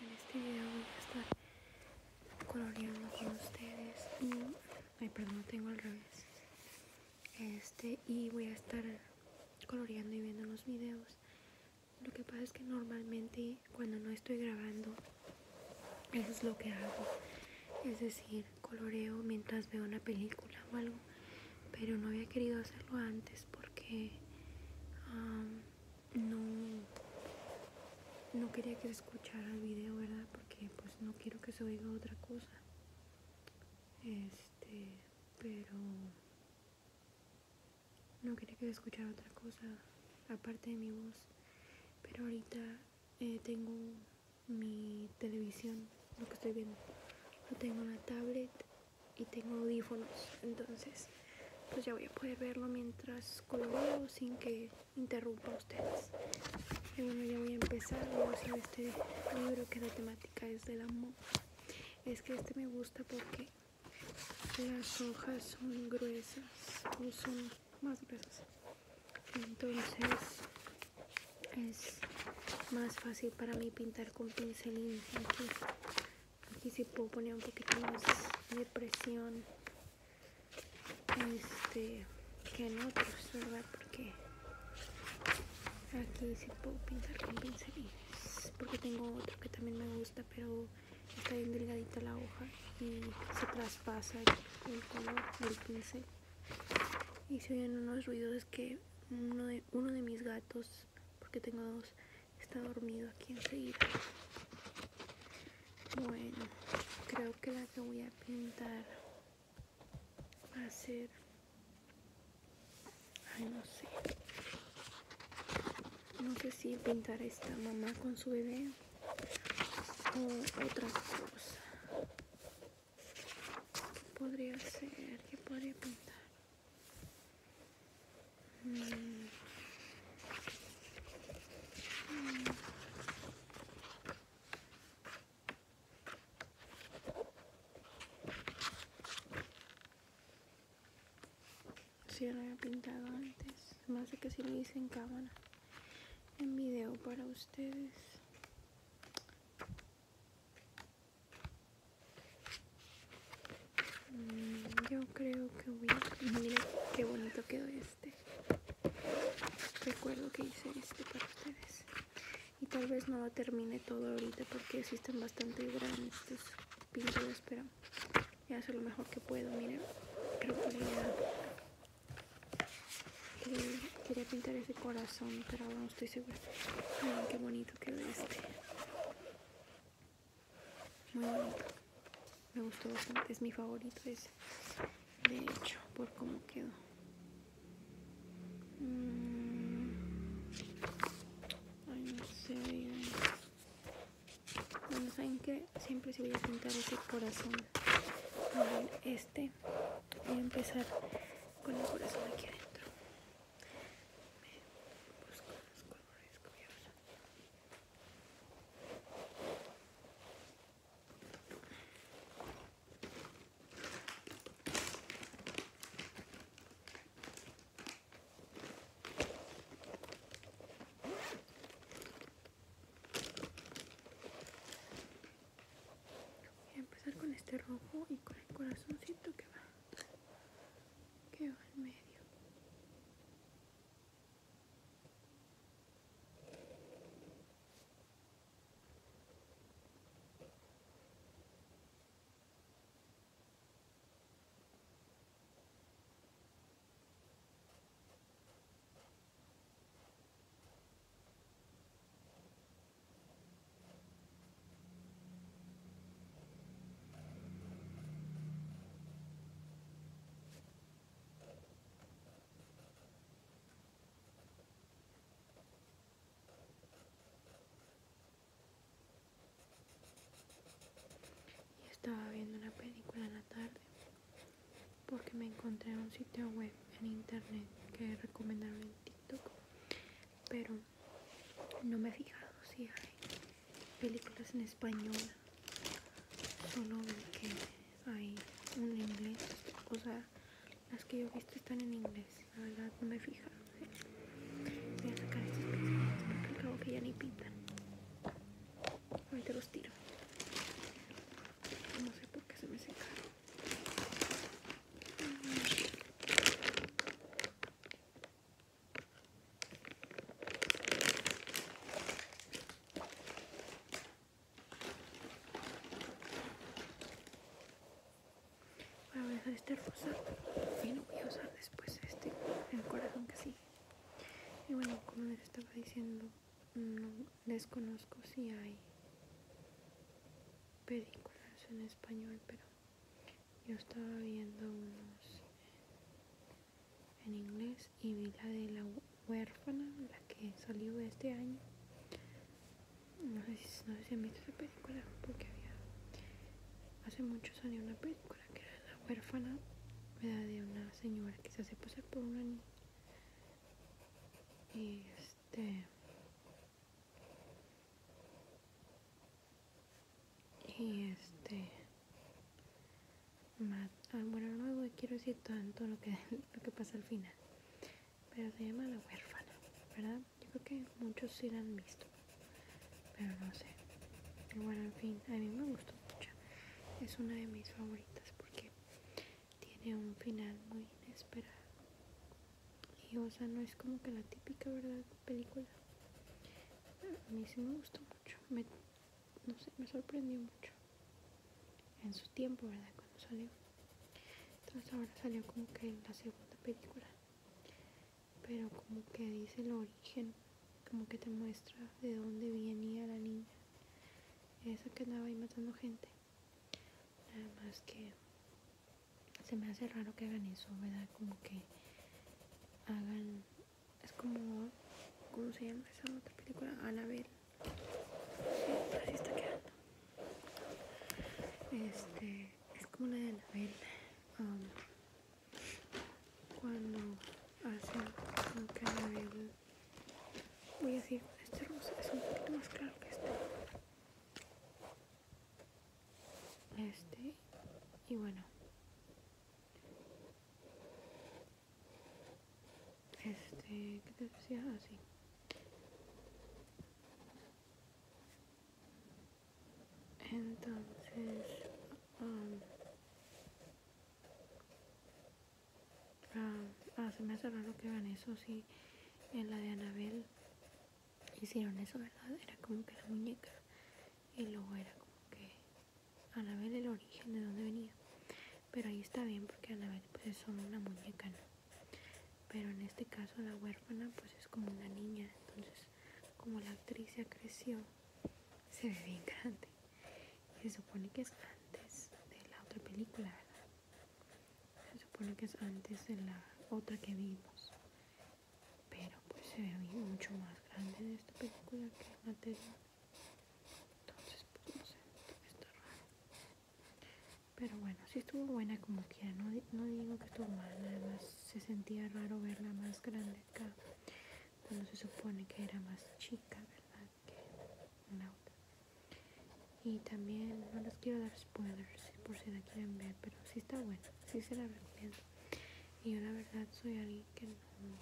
en este video voy a estar coloreando con ustedes y, ay perdón, tengo al revés este y voy a estar coloreando y viendo los videos lo que pasa es que normalmente cuando no estoy grabando eso es lo que hago es decir, coloreo mientras veo una película o algo pero no había querido hacerlo antes porque no, no quería que se escuchara el video, ¿verdad? Porque pues no quiero que se oiga otra cosa. Este, pero no quería que se escuchara otra cosa aparte de mi voz. Pero ahorita eh, tengo mi televisión, lo que estoy viendo. Lo tengo la tablet y tengo audífonos entonces pues ya voy a poder verlo mientras colorido sin que interrumpa ustedes y bueno ya voy a empezar a este libro que la temática es del amor es que este me gusta porque las hojas son gruesas o son más gruesas entonces es más fácil para mí pintar con pincelín aquí sí puedo poner un poquito más de presión este que en otros verdad porque aquí sí puedo pintar con pincelines porque tengo otro que también me gusta pero está bien delgadita la hoja y se traspasa el color del pincel y se oyen unos ruidos que uno de, uno de mis gatos porque tengo dos. Está dormido aquí enseguida. Bueno, creo que la que voy a pintar va a ser... Ay, no sé. No sé si pintar esta mamá con su bebé o otra cosa. podría ser? que podría pintar? Si lo había pintado antes, más de que si lo hice en cámara, en video para ustedes. Mm, yo creo que voy a... Mira qué bonito quedó este. Recuerdo que hice este para ustedes. Y tal vez no lo termine todo ahorita porque existen bastante grandes estos pinturas, pero ya sé lo mejor que puedo. Miren, creo que eh, quería, pintar ese corazón, pero no estoy segura. qué bonito quedó este. Muy bonito. Me gustó bastante, es mi favorito Es, De hecho, por cómo quedó. Mm. no sé. Bueno, saben que siempre se voy a pintar ese corazón. este. Voy a empezar con el corazón aquí adentro. Voy a empezar con este rojo y con el corazoncito que va que en medio. Y estaba viendo una película en la tarde porque me encontré en un sitio web en internet que recomendaron en TikTok, pero no me he fijado si hay películas en español. Solo veo que hay un inglés. O sea, las que yo he visto están en inglés. La verdad no me he fijado. Voy a sacar estas porque al cabo que ya ni pintan. Ahorita los tiro. No sé por qué se me secaron. Voy a dejar este rosa y no voy a usar después este, el corazón que sigue. Y bueno, como les estaba diciendo, no desconozco si hay películas en español, pero yo estaba viendo unos en inglés y vi la de la huérfana, la que salió este año. No sé si, no sé han visto esa película, porque había hace mucho salió una película que era la huérfana ¿verdad? de una señora que se hace pasar por una niña. Y este y este. Ah, bueno, no quiero decir tanto lo que, lo que pasa al final. Pero se llama La huérfana, ¿verdad? Yo creo que muchos sí la han visto. Pero no sé. Bueno, en fin, a mí me gustó mucho. Es una de mis favoritas porque tiene un final muy inesperado. Y o sea, no es como que la típica, ¿verdad? Película. A mí sí me gustó mucho. Me, no sé, me sorprendió mucho. En su tiempo, ¿verdad? Cuando salió. Entonces ahora salió como que la segunda película. Pero como que dice el origen. Como que te muestra de dónde venía la niña. Esa que andaba ahí matando gente. Nada más que se me hace raro que hagan eso, ¿verdad? Como que hagan. Es como. ¿Cómo se llama esa otra película? Anabel. Así está quedando. Este. Es como la de Anabel. Um, cuando hace lo que Anabel. Voy así. Este rosa es un poquito más claro que este este y bueno este ¿Qué te decía así ah, entonces um, ah, ah se me hace raro que van eso sí en la de Anabel hicieron eso, ¿verdad? Era como que la muñeca y luego era como que A Anabel el origen de dónde venía. Pero ahí está bien porque a Anabel pues es solo una muñeca, ¿no? Pero en este caso la huérfana pues es como una niña, entonces como la actriz ya creció, se ve bien grande. se supone que es antes de la otra película, se supone que es antes de la otra que vimos. Pero pues se ve mucho más grande de esta película que la Entonces, pues no sé, está raro. Pero bueno, si estuvo buena como quiera. No, no digo que estuvo mal, además se sentía raro verla más grande acá. Cuando se supone que era más chica, ¿verdad? Que la otra. Y también no les quiero dar spoilers por si la quieren ver, pero sí está bueno, sí se la recomiendo. Y yo la verdad soy alguien que no,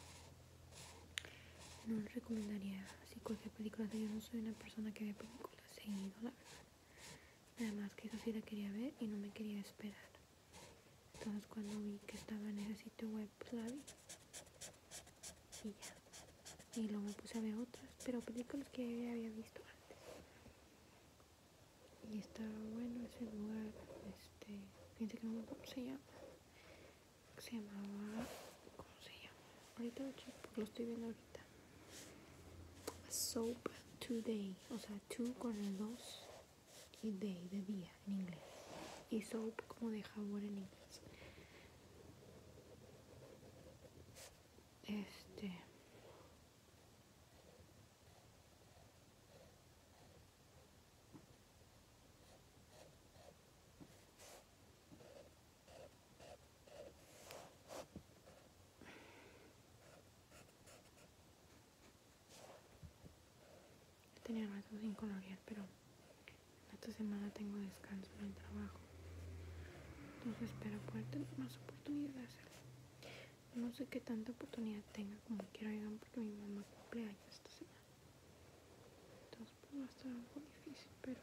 no recomendaría así cualquier película. yo no soy una persona que ve películas seguido, la verdad. Nada que eso si la quería ver y no me quería esperar. Entonces cuando vi que estaba en ese sitio web, pues y ya. Y luego puse a ver otras, pero películas que había visto antes. Y estaba bueno ese lugar, este, fíjense que no se llama. Se llamaba, ¿cómo se llama? Ahorita lo porque lo estoy viendo ahorita. soap today, o sea, two con el dos y day, de día, en inglés. Y soap como de jabón en inglés. Este. Tenía más sin colorear, pero esta semana tengo descanso en el trabajo. Entonces espero poder tener más oportunidad de No sé qué tanta oportunidad tenga como quiero oigan, porque mi mamá cumple años esta semana. Entonces pues va a estar algo difícil, pero...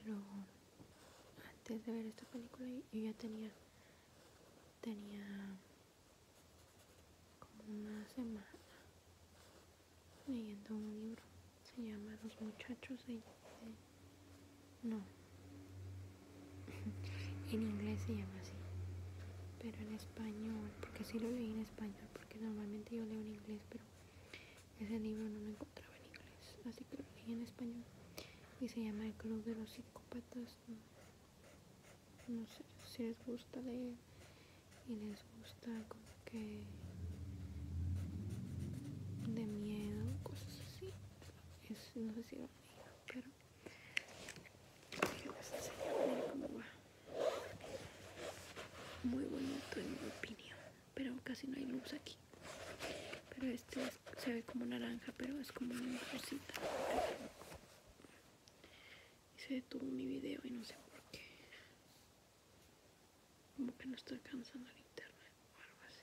Y luego, antes de ver esta película, yo ya tenía, tenía como una semana leyendo un libro. Se llama Los muchachos no. en inglés se llama así. Pero en español porque si lo leí en español, porque normalmente yo leo en inglés, pero ese libro no lo encontraba en inglés, así que lo leí en español. Y se llama El Club de los Psicópatas. No, sé si les gusta leer y les gusta como que de miedo, cosas así. no sé si lo leído pero muy bonito en mi opinión, pero casi no hay luz aquí. Pero este se ve como naranja, pero es como una rosita. Y se detuvo mi video y no sé por qué. Como que no estoy alcanzando el internet o algo así.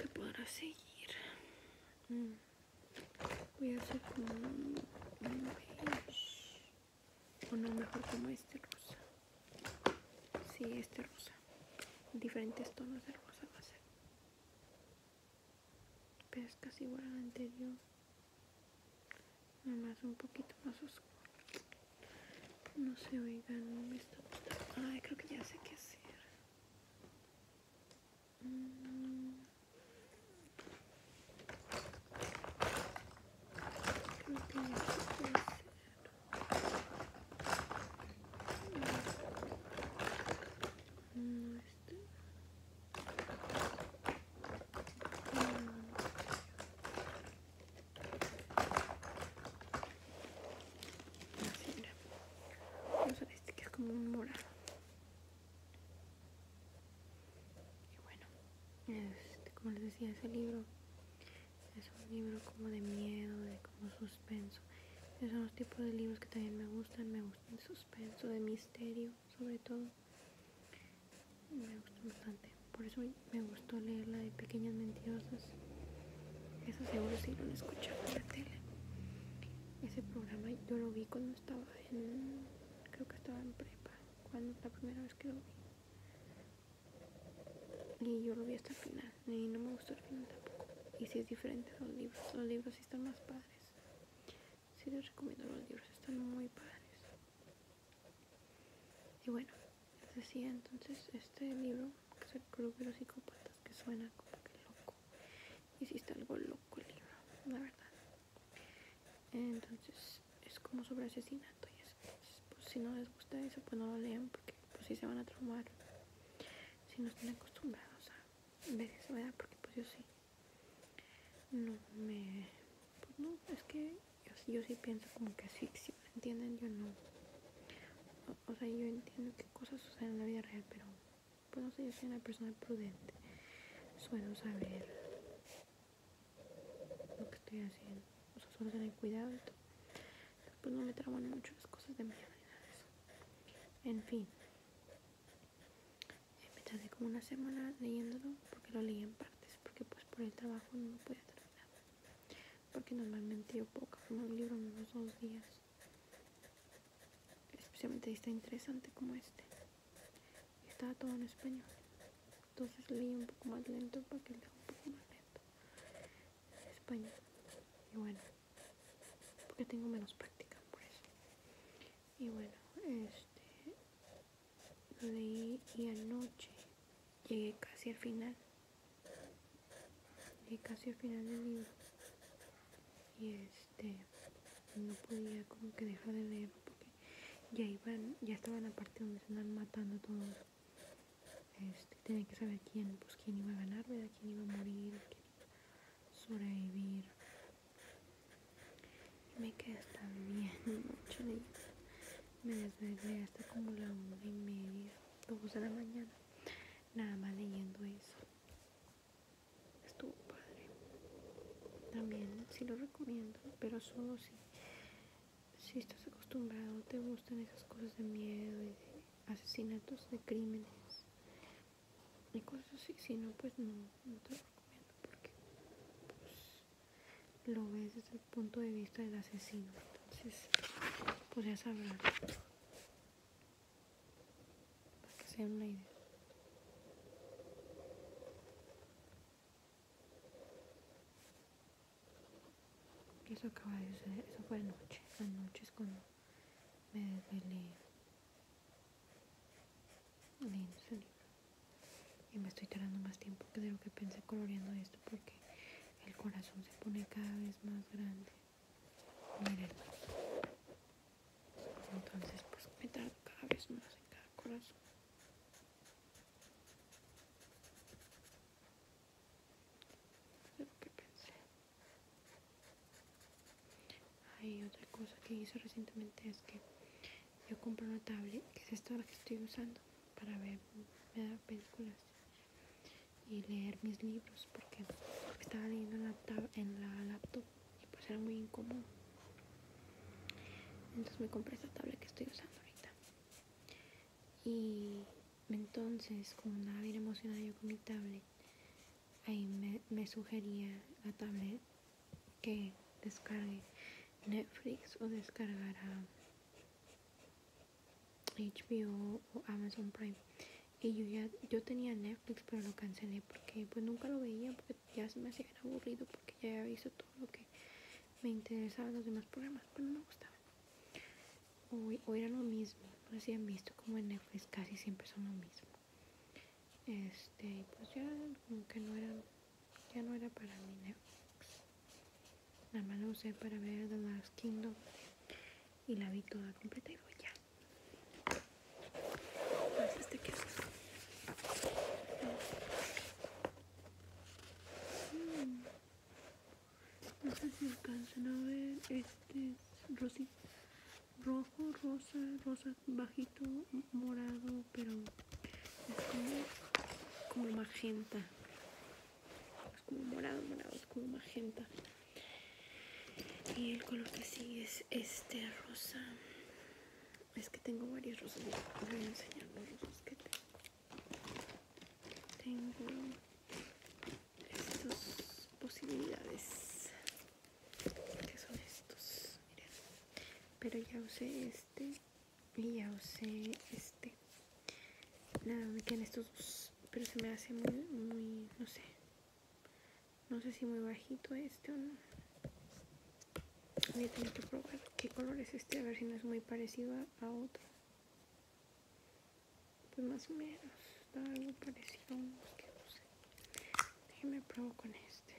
que podrá seguir mm. voy a hacer como un, beige o no mejor como este rosa sí, este rosa diferentes tonos de rosa va a ser pero es casi igual al anterior nada más un poquito más oscuro no sé, oigan, me está... Ay, creo que ya sé qué hacer. Mm. Creo que ya sé qué hacer. Mm. Así, este que es como un morado. Y bueno, este, como les decía, ese libro es un libro como de miedo, de como suspenso. Esos son los tipos de libros que también me gustan. Me gustan de suspenso, de misterio, sobre todo me gustó bastante por eso me gustó leerla de pequeñas mentirosas eso seguro si sí lo han en la tele ese programa yo lo vi cuando estaba en creo que estaba en prepa cuando la primera vez que lo vi y yo lo vi hasta el final y no me gustó el final tampoco y si es diferente los libros los libros sí están más padres sí les recomiendo los libros están muy padres y bueno, les pues decía entonces este libro, que es el de los Psicópatas, que suena como que loco. Hiciste algo loco el libro, la verdad. Entonces es como sobre asesinato y es pues, si no les gusta eso, pues no lo lean porque pues si se van a traumar. Si no están acostumbrados a ver eso, ¿verdad? Porque pues yo sí. No me pues no, es que yo, yo sí pienso como que es ficción, ¿entienden? Yo no. O, sea, yo entiendo que cosas suceden en la vida real, pero pues no sé, yo soy una persona prudente. Suelo saber lo que estoy haciendo. O sea, suelo tener cuidado y todo. pues no me traban mucho las cosas de mi vida En fin. Eh, me tardé como una semana leyéndolo porque lo leí en partes, porque pues por el trabajo no lo podía traer porque normalmente yo poco como un libro en unos dos días especialmente está interesante como este estaba todo en español entonces leí un poco más lento para que un poco más lento español y bueno porque tengo menos práctica por eso y bueno este lo leí y anoche llegué casi al final. Llegué casi al final del libro. Y este, no podía como que dejar de leerlo porque ya iban, ya estaban la parte donde se andan matando a todos. Este, tenía que saber quién, pues quién iba a ganar, ¿verdad? quién iba a morir, quién iba a sobrevivir me quedé hasta bien mucho me desvelé hasta como la una y media dos de la mañana nada más leyendo eso estuvo padre también sí lo recomiendo pero solo si si estás acostumbrado te gustan esas cosas de miedo y de asesinatos de crímenes y cosas así si no pues no no te lo recomiendo porque pues, lo ves desde el punto de vista del asesino. Entonces, podrías hablar. Para que sea una idea. Eso acaba de suceder, eso fue anoche. Anoche es cuando me desvelé Lindo y me estoy tardando más tiempo que de lo que pensé coloreando esto porque el corazón se pone cada vez más grande. Miren. Entonces pues me tardo cada vez más en cada corazón. De lo que pensé. Hay otra cosa que hice recientemente es que yo compré una tablet que es esta la que estoy usando para ver películas y leer mis libros porque estaba leyendo en la, en la laptop y pues era muy incómodo entonces me compré esta tablet que estoy usando ahorita y entonces como nada bien emocionada yo con mi tablet ahí me, me sugería la tablet que descargue Netflix o descargar a HBO o Amazon Prime. Y yo ya yo tenía Netflix, pero lo cancelé porque pues nunca lo veía, porque ya se me hacía aburrido, porque ya había visto todo lo que me interesaba los demás programas, pero no me gustaban. O, o, era lo mismo, no sé si han visto como en Netflix casi siempre son lo mismo. Este, pues ya como que no eran ya no era para mí Netflix. Nada más lo usé para ver The Last Kingdom. Y la vi toda completa y voy ya. Pues este que está mm. No sé si alcanzan a ver. Este es rojo, rosa, rosa bajito, morado, pero es como, magenta. Es como morado, morado, es como magenta. Y el color que sigue es este rosa. Es que tengo varios rosas. voy a enseñar los rosas que tengo. Tengo estas posibilidades qué son estos pero ya usé este y ya usé este nada me quedan estos dos pero se me hace muy muy no sé no sé si muy bajito este o no voy a tener que probar qué color es este a ver si no es muy parecido a, otro pues más o menos está algo parecido a unos déjenme probar con este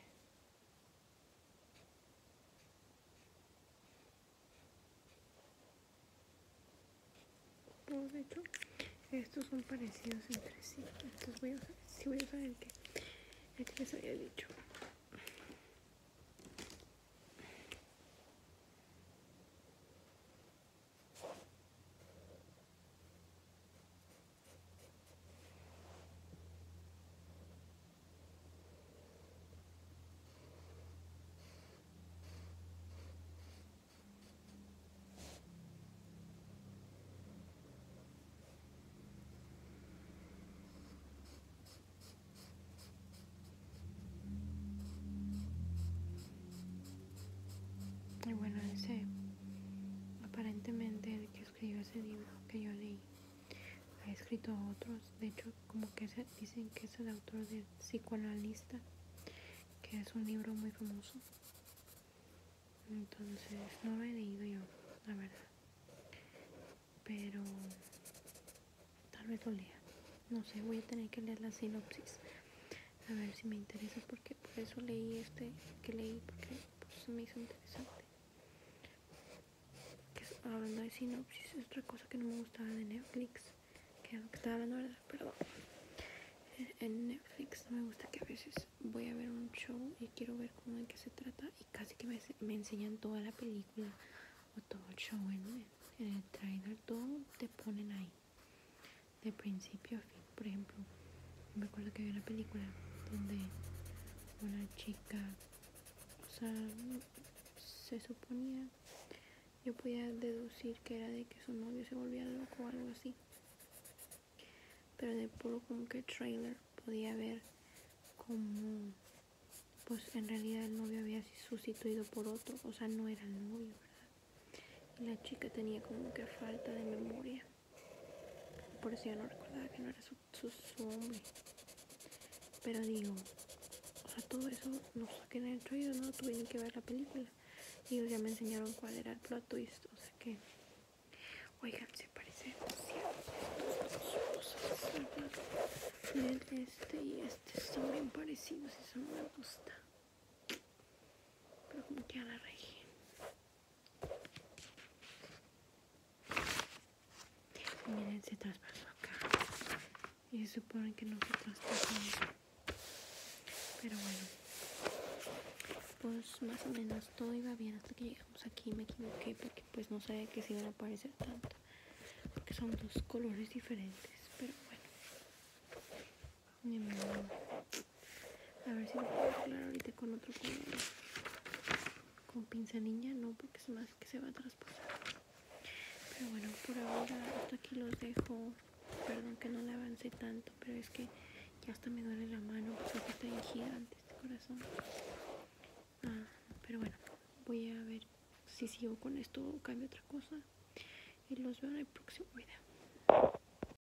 estos son parecidos entre sí. Entonces voy a usar, sí voy a usar que, el que les había dicho. Y bueno, ese aparentemente el que escribió ese libro que yo leí. Ha escrito otros, de hecho, como que dicen que es el autor del psicoanalista, que es un libro muy famoso. Entonces, no lo he leído yo, la verdad. Pero tal vez lo lea. No sé, voy a tener que leer la sinopsis. A ver si me interesa porque por eso leí este que leí porque pues, me hizo interesante. Ah, hablando de sinopsis, es otra cosa que no me gustaba de Netflix, que estaba hablando, ¿verdad? Perdón. En Netflix no me gusta que a veces voy a ver un show y quiero ver cómo de qué se trata y casi que me, enseñan toda la película o todo el show en el trailer, todo te ponen ahí, de principio a fin. Por ejemplo, me acuerdo que había una película donde una chica, o sea, se suponía, yo podía deducir que era de que su novio se volvía loco o algo así. Pero de puro como que trailer podía ver como pues en realidad el novio había sustituido por otro, o sea, no era el novio, ¿verdad? Y la chica tenía como que falta de memoria. Por eso yo no recordaba que no era su, su, Pero digo, o sea, todo eso no saqué en el yo no tuve que ver la película. Digo, ya me enseñaron cuál era el y esto, o sea que. Oigan, se parece de Este y este son bien parecidos, eso me gusta. Pero como que a la región. Miren, se traspasó acá. Y se supone que no se traspasó. Pero bueno, pues más o menos todo iba bien hasta que llegamos aquí. Me equivoqué porque pues no sabía que se iban a aparecer tanto. Porque son dos colores diferentes. Pero bueno, a ver si lo puedo aclarar ahorita con otro Con pinza niña no, porque es más que se va a traspasar. Pero bueno, por ahora hasta aquí los dejo. Perdón que no le avancé tanto, pero es que ya hasta me duele la mano porque está este corazón. Ah, pero bueno, voy a ver si sigo con esto o cambio otra cosa. Y los veo en el próximo video.